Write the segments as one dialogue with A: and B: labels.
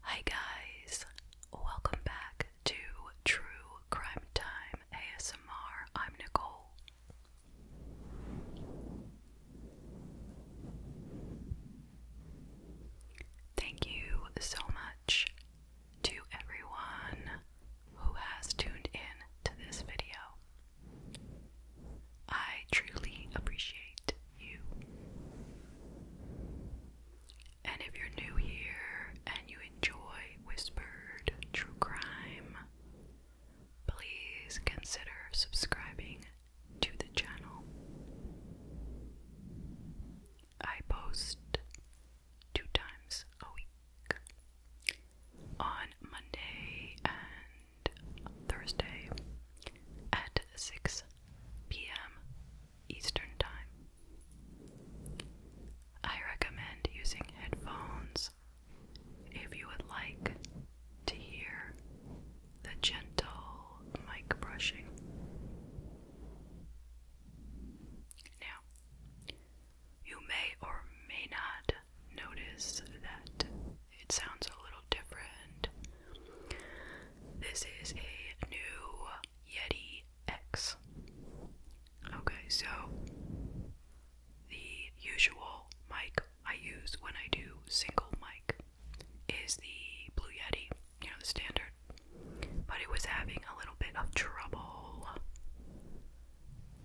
A: Hi, guys, welcome back to True Crime Time ASMR. I'm Nicole. Thank you so much to everyone who has tuned in to this video. I truly appreciate you. And if you're new here and you enjoy whispered true crime, please consider subscribing to the channel. I post two times a week on Monday and Thursday at 6 p.m. Eastern Time. I recommend using headphones if you would like to hear the gentle mic brushing. Now, you may or may not notice that it sounds a little different. This is a new Yeti X. Okay, so the usual mic I use when I do single mic is the Blue Yeti, you know, the standard. But it was having a little bit of trouble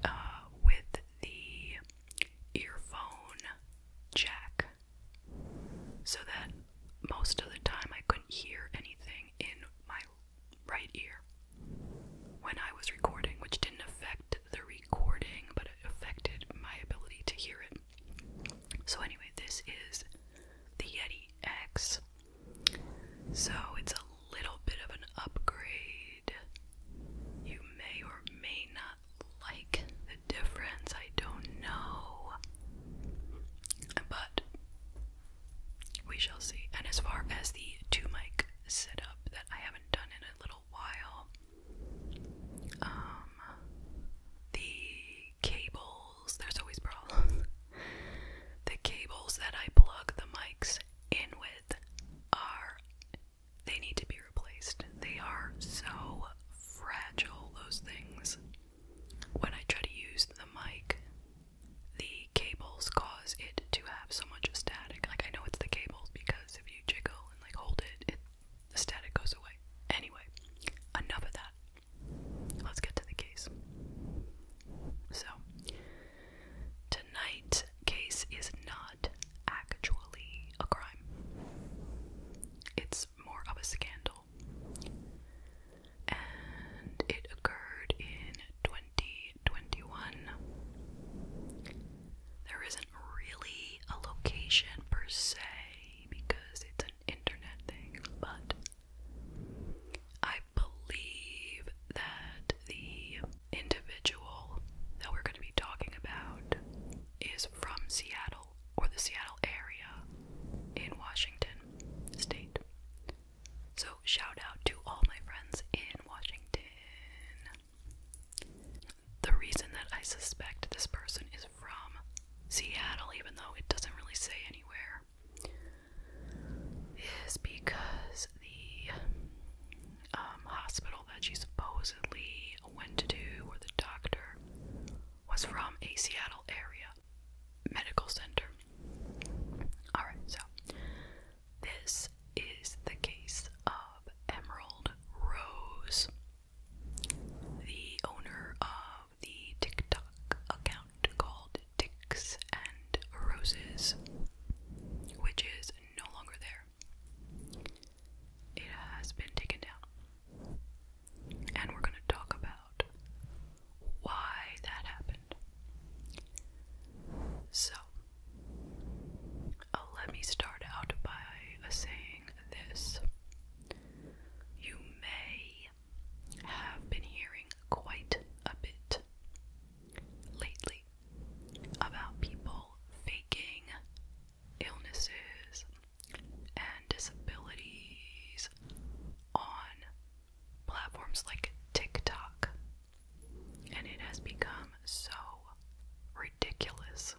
A: uh, with the earphone jack so that most of the time I couldn't hear anything in my right ear when I was recording, which didn't affect the recording but it affected my ability to hear it. So, anyway, this is the Yeti X so it's a little bit of an upgrade. You may or may not like the difference, I don't know. But we shall see. And as far as the two mic setup that I haven't done in a little while, um, the cables, there's always problems. the cables that I plug the mics in with are they need to be replaced. They are so fragile, those things. When I try to use the mic, the cables cause it to have so much static. Like, I know it's the cables because if you jiggle and like hold it, it the static goes away. Anyway, enough of that. Let's get to the case. So, tonight's case is not actually a crime, it's more of a scandal. And it occurred in 2021. There isn't really a location per se because it's an internet thing, but I believe that the individual that we're going to be talking about is from Seattle or the Seattle area in Washington State. So, shout out to all my friends in Washington. The reason that I suspect this person is from Seattle, even though it doesn't really say anywhere, is because the um, hospital that she supposedly went to, or the doctor, was from a Seattle area medical center. Alright, so this is the case of Emerald Rose, the owner of the TikTok account called Dicks and Roses, which is no longer there. It has been taken down. And we're going to talk about why that happened. So, uh, let me start out by saying this. You may have been hearing quite a bit lately about people faking illnesses and disabilities on platforms like TikTok, and it has become so ridiculous.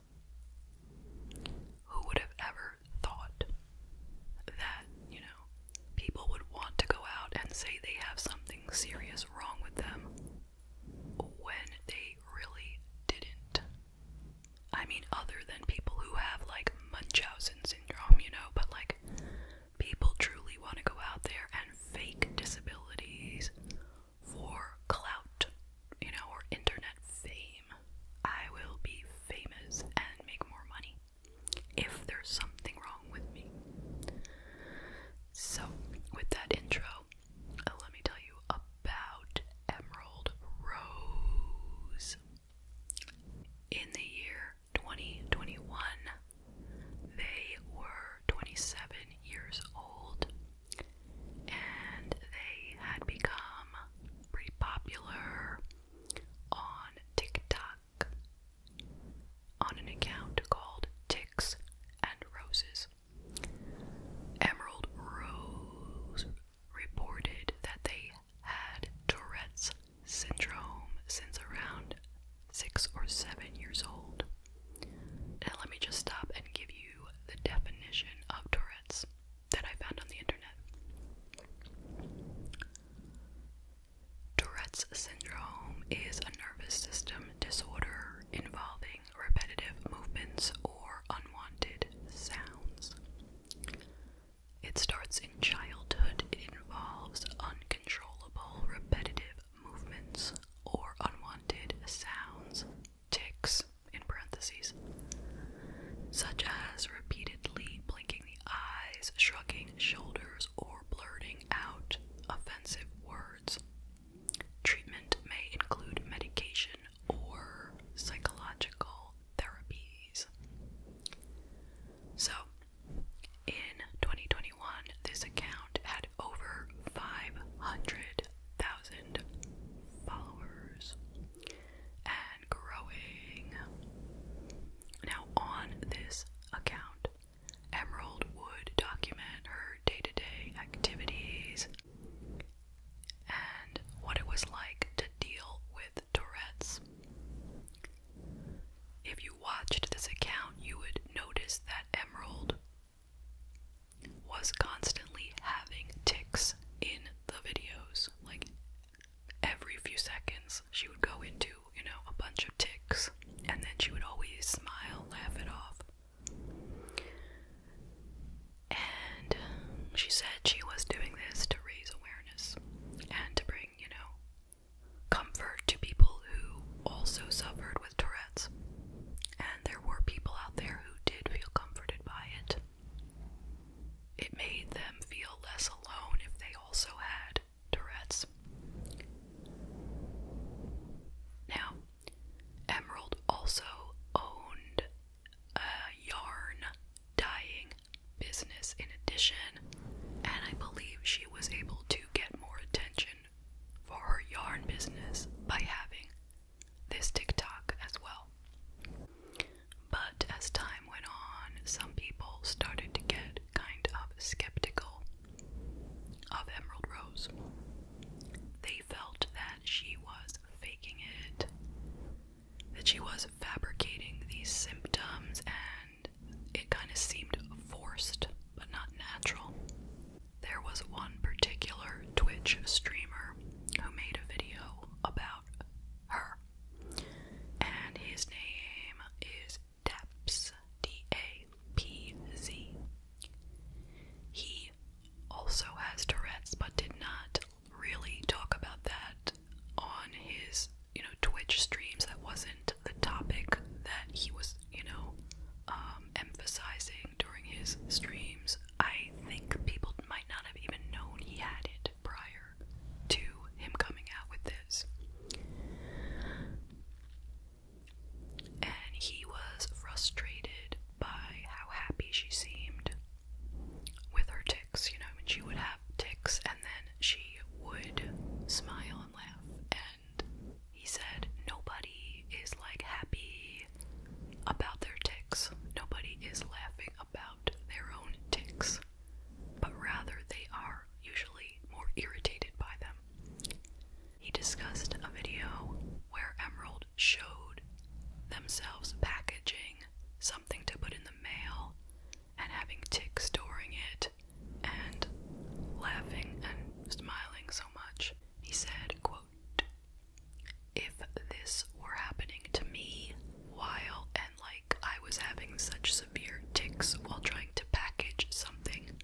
A: Who would have ever thought that, you know, know, people would want to go out and say they have something serious wrong with them when they really didn't. I mean, other than people who have like Munchausen syndrome, you know, but like people truly want to go out there and fake disabilities for clout, you know, or internet fame. I will be famous and make more money if there's something wrong with me. So, with that intro, uh, let me tell you about Emerald Rose. In the year 2021, they were 27 years old and they had become pretty popular on TikTok on an account called Ticks and Roses. Emerald Rose reported that they had Tourette's syndrome since around six or seven years old. Now, let me just stop and give you the definition of Tourette's that I found on the internet. Tourette's syndrome is a nervous system disorder involving repetitive movements or unwanted sounds. It starts in childhood. It involves uncontrollable repetitive movements or unwanted sounds, tics in parentheses, such as repeatedly blinking the eyes, shrugging shoulders, or blurring out offensive words. Treatment may include medication or psychological therapies. So, in 2021, this account had over 500,000 followers and growing. Now, on this account, Emerald would document her day to day activities and what it was like to deal with Tourette's. If you watched this account, you would notice that Emerald was constantly having ticks in the videos. Like every few seconds, she would go into you know, a bunch of ticks, and then she would always smile, laugh it off. And she said she was doing this to raise awareness and to bring, you know, comfort to people who also suffered with Tourette's. And there were people out there who did feel comforted by it. It made them feel less alone if they also had Tourette's. Now, Emerald also owned a yarn dyeing business in addition, and I believe she was able to get more attention for her yarn business by having this TikTok as well. But as time went on, some people started to get kind of skeptical of Emerald Rose. They felt that she was faking it, that she was fabricating these symptoms, and it kind of seemed forced but not natural. There was one particular Twitch streamer who made a video about her, and his name is Daps, D A P Z. He also has Tourette's, but did not really talk about that on his, you know, Twitch streams. That wasn't the topic that he was, you know, um, emphasizing during his streams. I think people might not have even known he had it prior to him coming out with this and he was frustrated by how happy she seemed with her ticks. You know, I she would have ticks and then she would smile and laugh. And he said, Nobody is like happy about their ticks, nobody is laughing about their own ticks, but rather they are usually more irritated by them. He discussed a video where Emerald showed themselves packaging something to put in the mail and having ticks during it and laughing and smiling so much. He said, quote, If this were happening to me while and like I was having such severe ticks while trying to package something,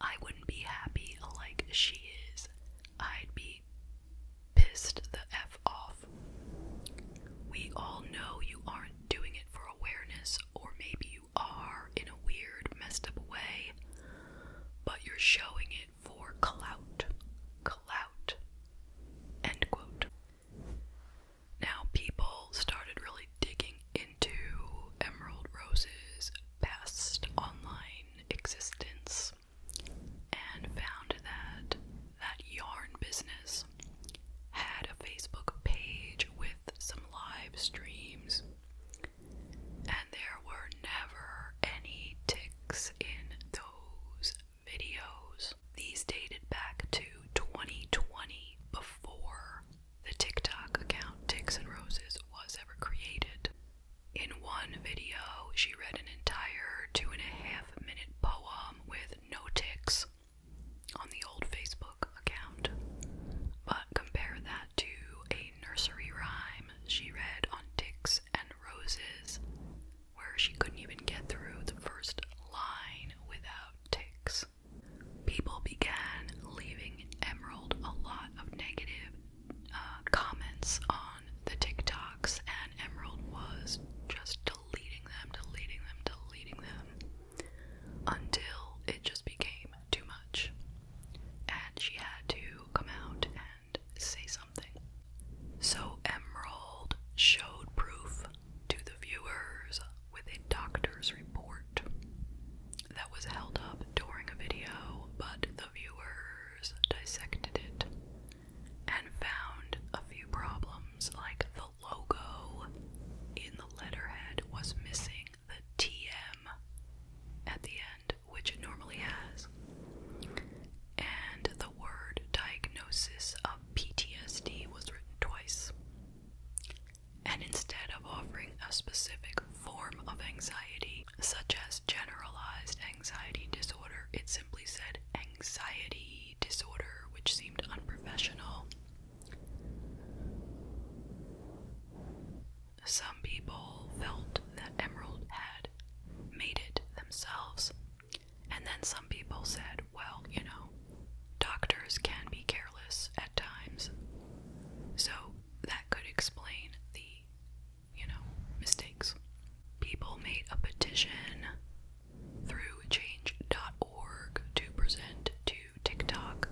A: I wouldn't be happy like she is. I'd be pissed the F off. We all know you aren't doing it for awareness, or maybe you are in a weird, messed up way, but you're showing it for clout. Clout. End quote. Now, people started really digging in and to Emerald Rose's past online existence and found that that yarn business had a Facebook page with some live streams, and there were never any ticks in those videos. These dated back to 2020 before the TikTok account Ticks and Roses was ever created. In one video, she read an entire two and a half minute poem with no ticks on the old Facebook account. But compare that to a nursery rhyme she read on Ticks and Roses, where she couldn't even get through the first line without ticks people began leaving Emerald a lot of negative uh, comments on the TikToks, and Emerald was just deleting them, deleting them, deleting them until it just became too much. And she had to come out and say something. So Emerald showed proof to the viewers with a doctor's report that was held up during a video, but the viewers dissected it and found a few problems, like the logo in the letterhead was missing the TM at the end, which it normally has, and the word diagnosis of PTSD was written twice and instead of offering a specific form of anxiety, such as generalized anxiety disorder, it simply said anxiety disorder, which seemed unprofessional. Some people felt that Emerald had made it themselves, and then some people said, well, you know, doctors can be careless at times. So that could explain the, you know, mistakes. People made a petition through change.org to present to TikTok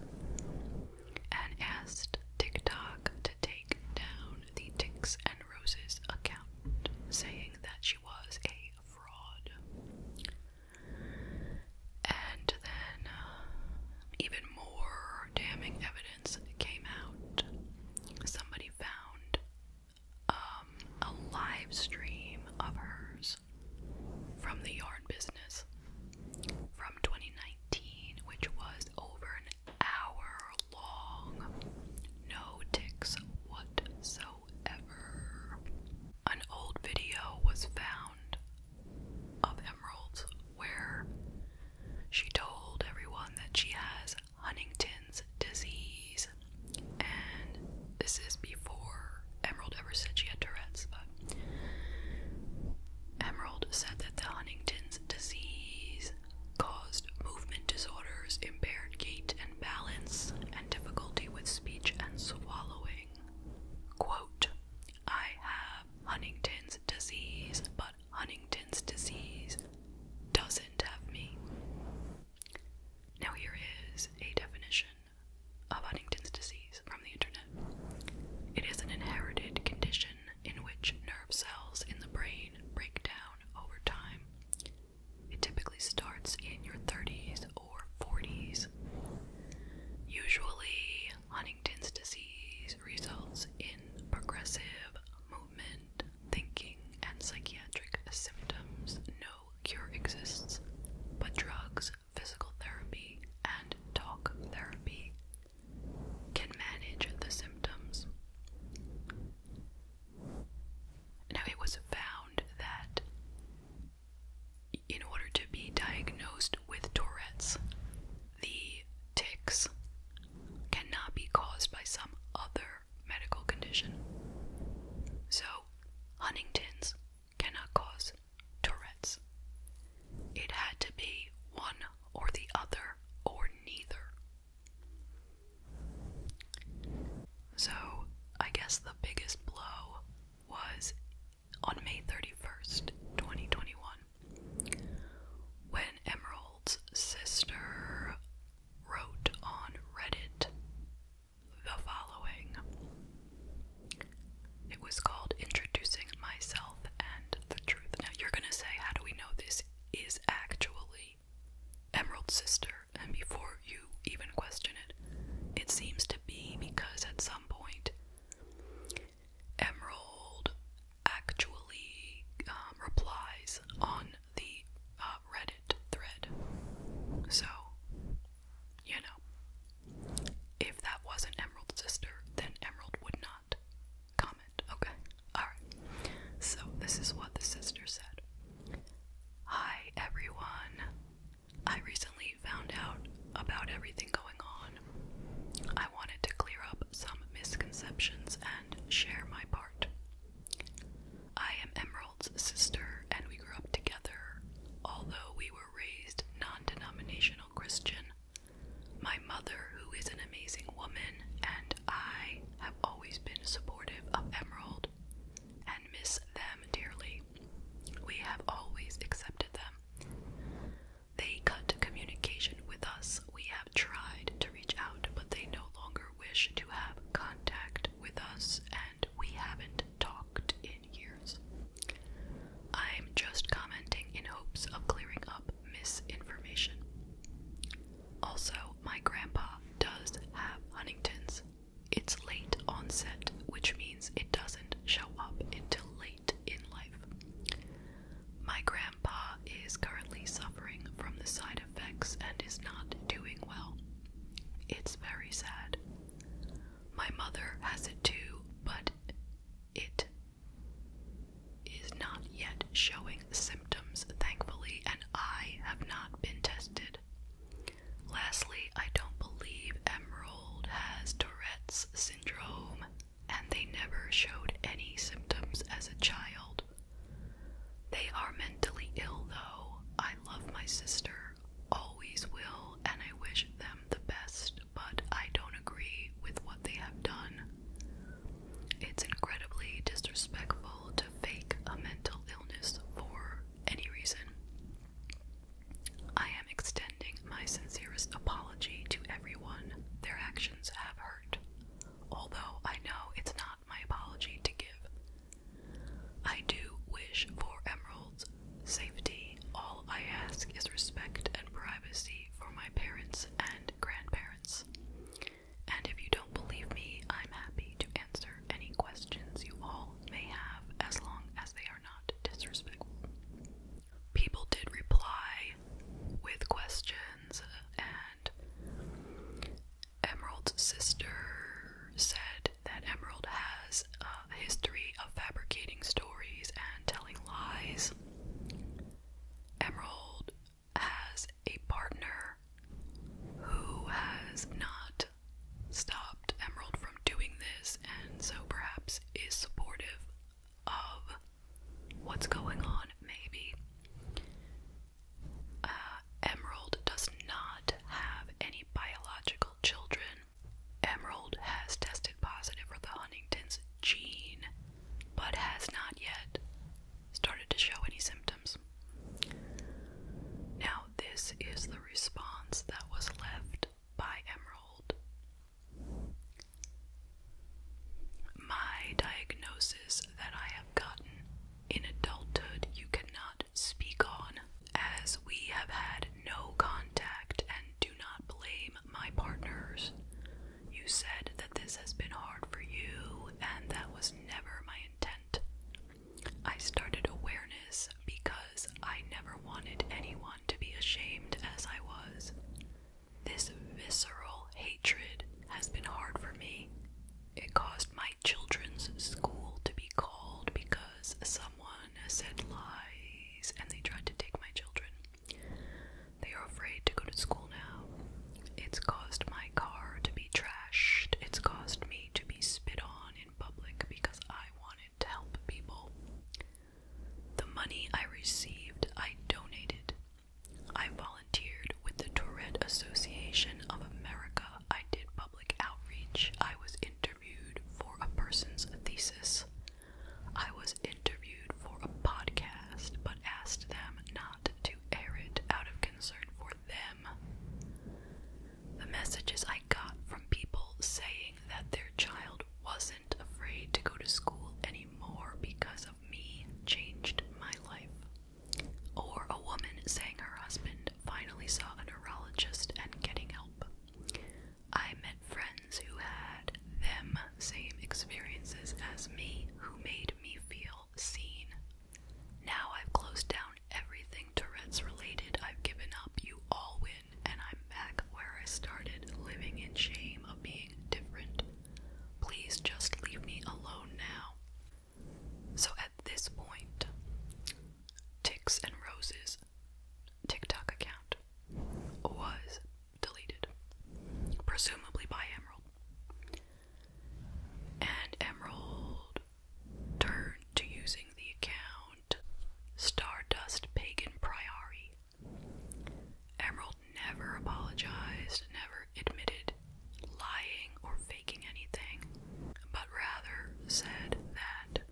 A: and asked TikTok to take down the Ticks and Roses account, saying that she was a fraud and then uh, even more damning evidence came out. Somebody found um, a live stream of hers from the yard business from 2019, which was over an hour long. No ticks whatsoever. An old video was found of Emeralds, where she told everyone that she has Huntington's disease. And this is before Emerald ever said she had Tourette's, but Emerald said that the Huntington's disease caused movement disorders, impaired gait and balance, and difficulty with speech and swallowing. Quote, I have Huntington's disease, but Huntington's disease doesn't have me. Now, here is a definition of Huntington's disease from the internet it is an inherited condition in which nerve cells in the brain break down over time. It typically starts in your 30s or 40s. Usually, Huntington's disease results in progressive movement, thinking, and psychiatric symptoms. No cure exists, but drugs, physical therapy, and talk therapy can manage the symptoms. Now, it was found that in order to be diagnosed with Tourette's, the tics cannot be caused by some other medical condition. So, Huntington's cannot cause Tourette's. It had to be one or the other or neither. So, I guess the biggest blow was on May 31st, 2021, when Emerald's sister wrote on Reddit the following. It was called Introducing Myself and the Truth. Now, you're gonna say, How do we know this is actually Emerald's sister? And before you even question it, it seems to be because at some point Emerald actually um, replies on the uh, Reddit thread. So, you know, if that wasn't Emerald's sister, then Emerald would not comment. Okay, alright. So, this is what the sister said Hi, everyone. I recently found out about everything going on I wanted to clear up some misconceptions and share my part. I am Emerald's sister, and we grew up together, although we were raised non denominational Christian. My mother, who is an amazing woman, and I have always been supportive of Emerald and miss them dearly. We have always accepted them. They cut communication with us. We have tried to reach out, but they no longer wish to have contact with us, and we haven't talked in years. I'm just commenting in hopes of clearing up misinformation. Also, my grandpa does have Huntington's. It's late onset, which means it doesn't show up until late in life. My grandpa is currently suffering from the side effects and is not doing well. It's very sad. My mother has it too, but it is not yet showing symptoms, thankfully, and I have not been tested. Lastly, I don't believe Emerald has Tourette's syndrome, and they never showed any symptoms as a child. They are mentally ill, though. I love my sister, always will, and I wish them the best, but I don't agree with what they have done. It's incredibly disrespectful to fake a mental illness for any reason. I am extending my sincerest apology to everyone their actions have hurt, although I know it's not my apology to give. I do wish for Emerald's safety. All I ask is respect and privacy for my parents and grandparents. And if you don't believe me, I'm happy to answer any questions you all may have as long as they are not disrespectful people did reply with questions, and Emerald's sister said that Emerald has a history of fabricating stories and telling lies. Emerald has a partner who has not stopped Emerald from doing this, and so perhaps is supportive of what's going on, maybe. Uh, Emerald does not have any biological children. Emerald has tested positive for the Huntington's gene, but has not yet started to show any symptoms. Now, this is the response that was left by Emerald my diagnosis that I have gotten in adulthood, you cannot speak on, as we have had no contact and do not blame my partners. You said that this has been hard for you, and that was never my intent. I started awareness because I never wanted anyone to be ashamed as I was. This visceral hatred has been hard for me. It caused my children's school to be called because someone said lies and they tried to take my children. They are afraid to go to school now. It's caused my car to be trashed. It's caused me to be spit on in public because I wanted to help people. The money I received, I donated. I volunteered with the Tourette Association of America. I did public outreach. I was interviewed for a person's thesis. I was interviewed for a podcast, but asked them not to air it out of concern for them. The messages I got from people saying that their child wasn't afraid to go to school anymore because of me changed my life. Or a woman saying her husband finally saw a neurologist and getting help. I met friends who had them same experiences as me who made me feel seen. Now I've closed down everything Tourette's related. I've given up. You all win, and I'm back where I started, living in shame of being different. Please just leave me alone now. So at this point, Ticks and Rose's TikTok account was deleted, presumably by Emerald. And Emerald turned to using the account Stardust Pagan Priori Emerald never apologized, never admitted lying or faking anything, but rather said that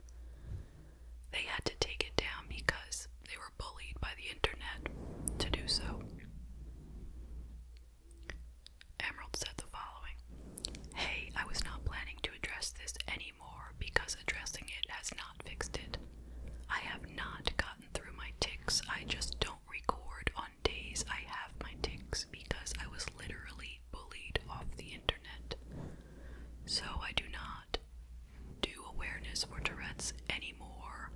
A: they had to take it down because they were bullied by the internet to do so. Emerald said the following Hey, I was not planning to address this anymore because addressing it has not fixed it. I have not got through my ticks. I just don't record on days I have my ticks because I was literally bullied off the internet. So I do not do awareness for Tourette's anymore,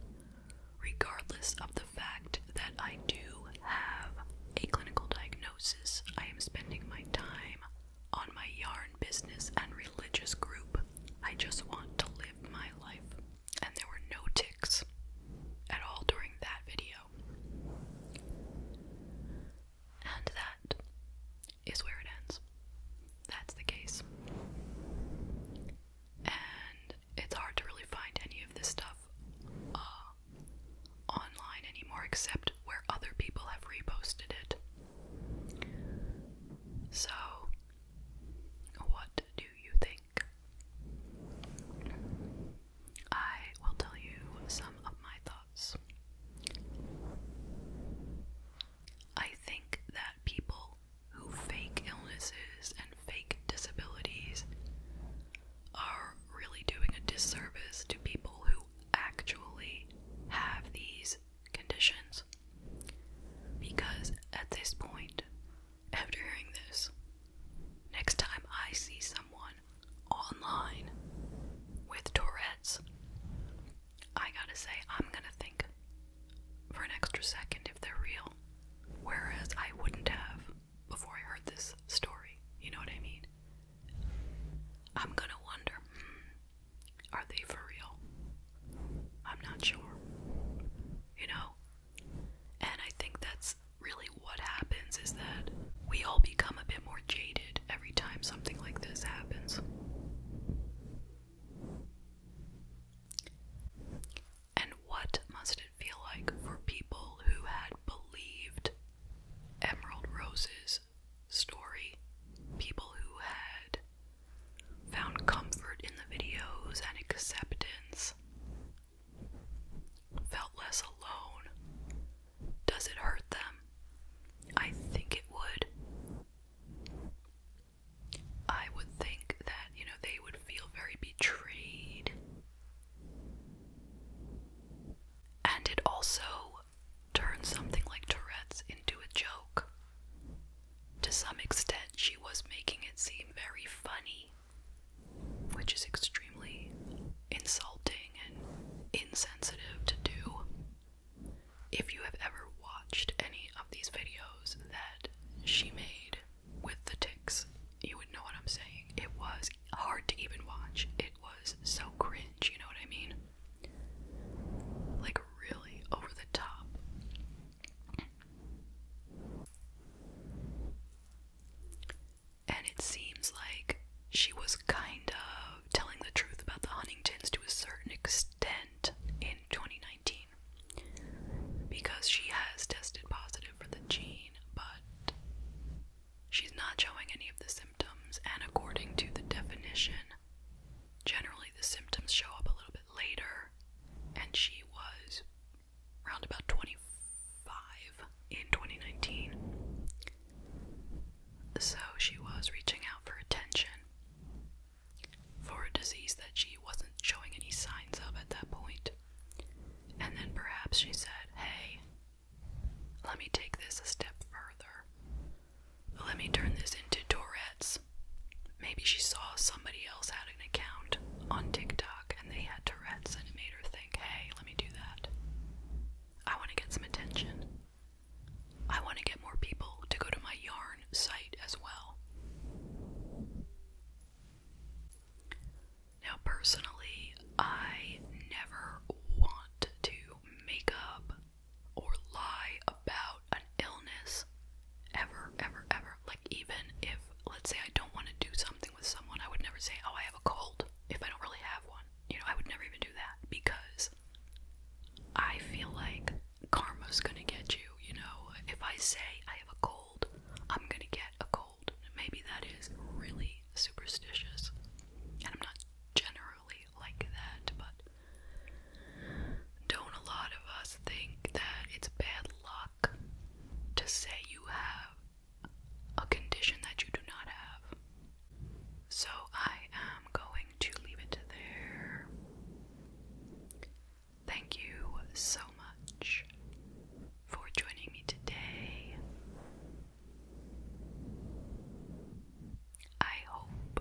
A: regardless of the fact that I do have a clinical diagnosis. I am spending my time on my yarn business and religious group I just want to live my life. And there were no ticks at all during that video. And that is where it ends. That's the case. And it's hard to really find any of this stuff uh, online anymore except where other people have reposted it. So what do you think? I will tell you some of my thoughts. I think that people who fake illnesses and fake disabilities are really doing a disservice to people who actually have these conditions. Because at this point, after hearing this, next time I see someone online with Tourette's, I gotta say, I'm gonna think for an extra second if they're real. Whereas I wouldn't have before I heard this story. You know what I mean? I'm gonna wonder hmm, are they for real? I'm not sure. You know? And I think that's really what happens is that we all become a bit more jaded every time something like this happens. And what must it feel like for people who had believed Emerald Rose's story? People who had found comfort in the videos and acceptance, felt less alone. Does it hurt them? I think it would. I would think that, you know, they would feel very betrayed. And it also turns something like Tourette's into a joke. To some extent, she was making it seem very funny, which is extremely insulting and insensitive to do. If you have ever watched any of these videos that she made with the ticks, you would know what I'm saying. It was hard to even watch. It was so cringe, you know what I mean? Like, really over the top. And it seems like she was kind of telling the truth about the Huntingtons to a certain extent in 2019 because she has tested positive for the gene, but she's not showing any of the symptoms. And according to the definition, generally the symptoms show up a little bit later, and she was around about 25 in 2019. So she was reaching out for attention for a disease that she wasn't showing any signs of at that point. And then perhaps she said, Hey, let me take this a step further. Let me turn this into Tourette's. Maybe she saw somebody else had an account on TikTok and they had Tourette's and it made her think, hey, let me do that. I want to get some attention. I want to get more people to go to my yarn site as well. Now, personally, I never want to make up or lie about about an illness ever, ever, ever. Like, even if, let's say, I don't want to do something with someone, I would never say, Oh, I have a cold if I don't really have one. You know, I would never even do that because I feel like karma's gonna get you. You know, if I say I have a cold, I'm gonna get a cold. Maybe that is really superstitious, and I'm not generally like that, but don't a lot of us think that it's bad luck to say you have a condition that you do not have? So I am going to leave it there. Thank you so much for joining me today. I hope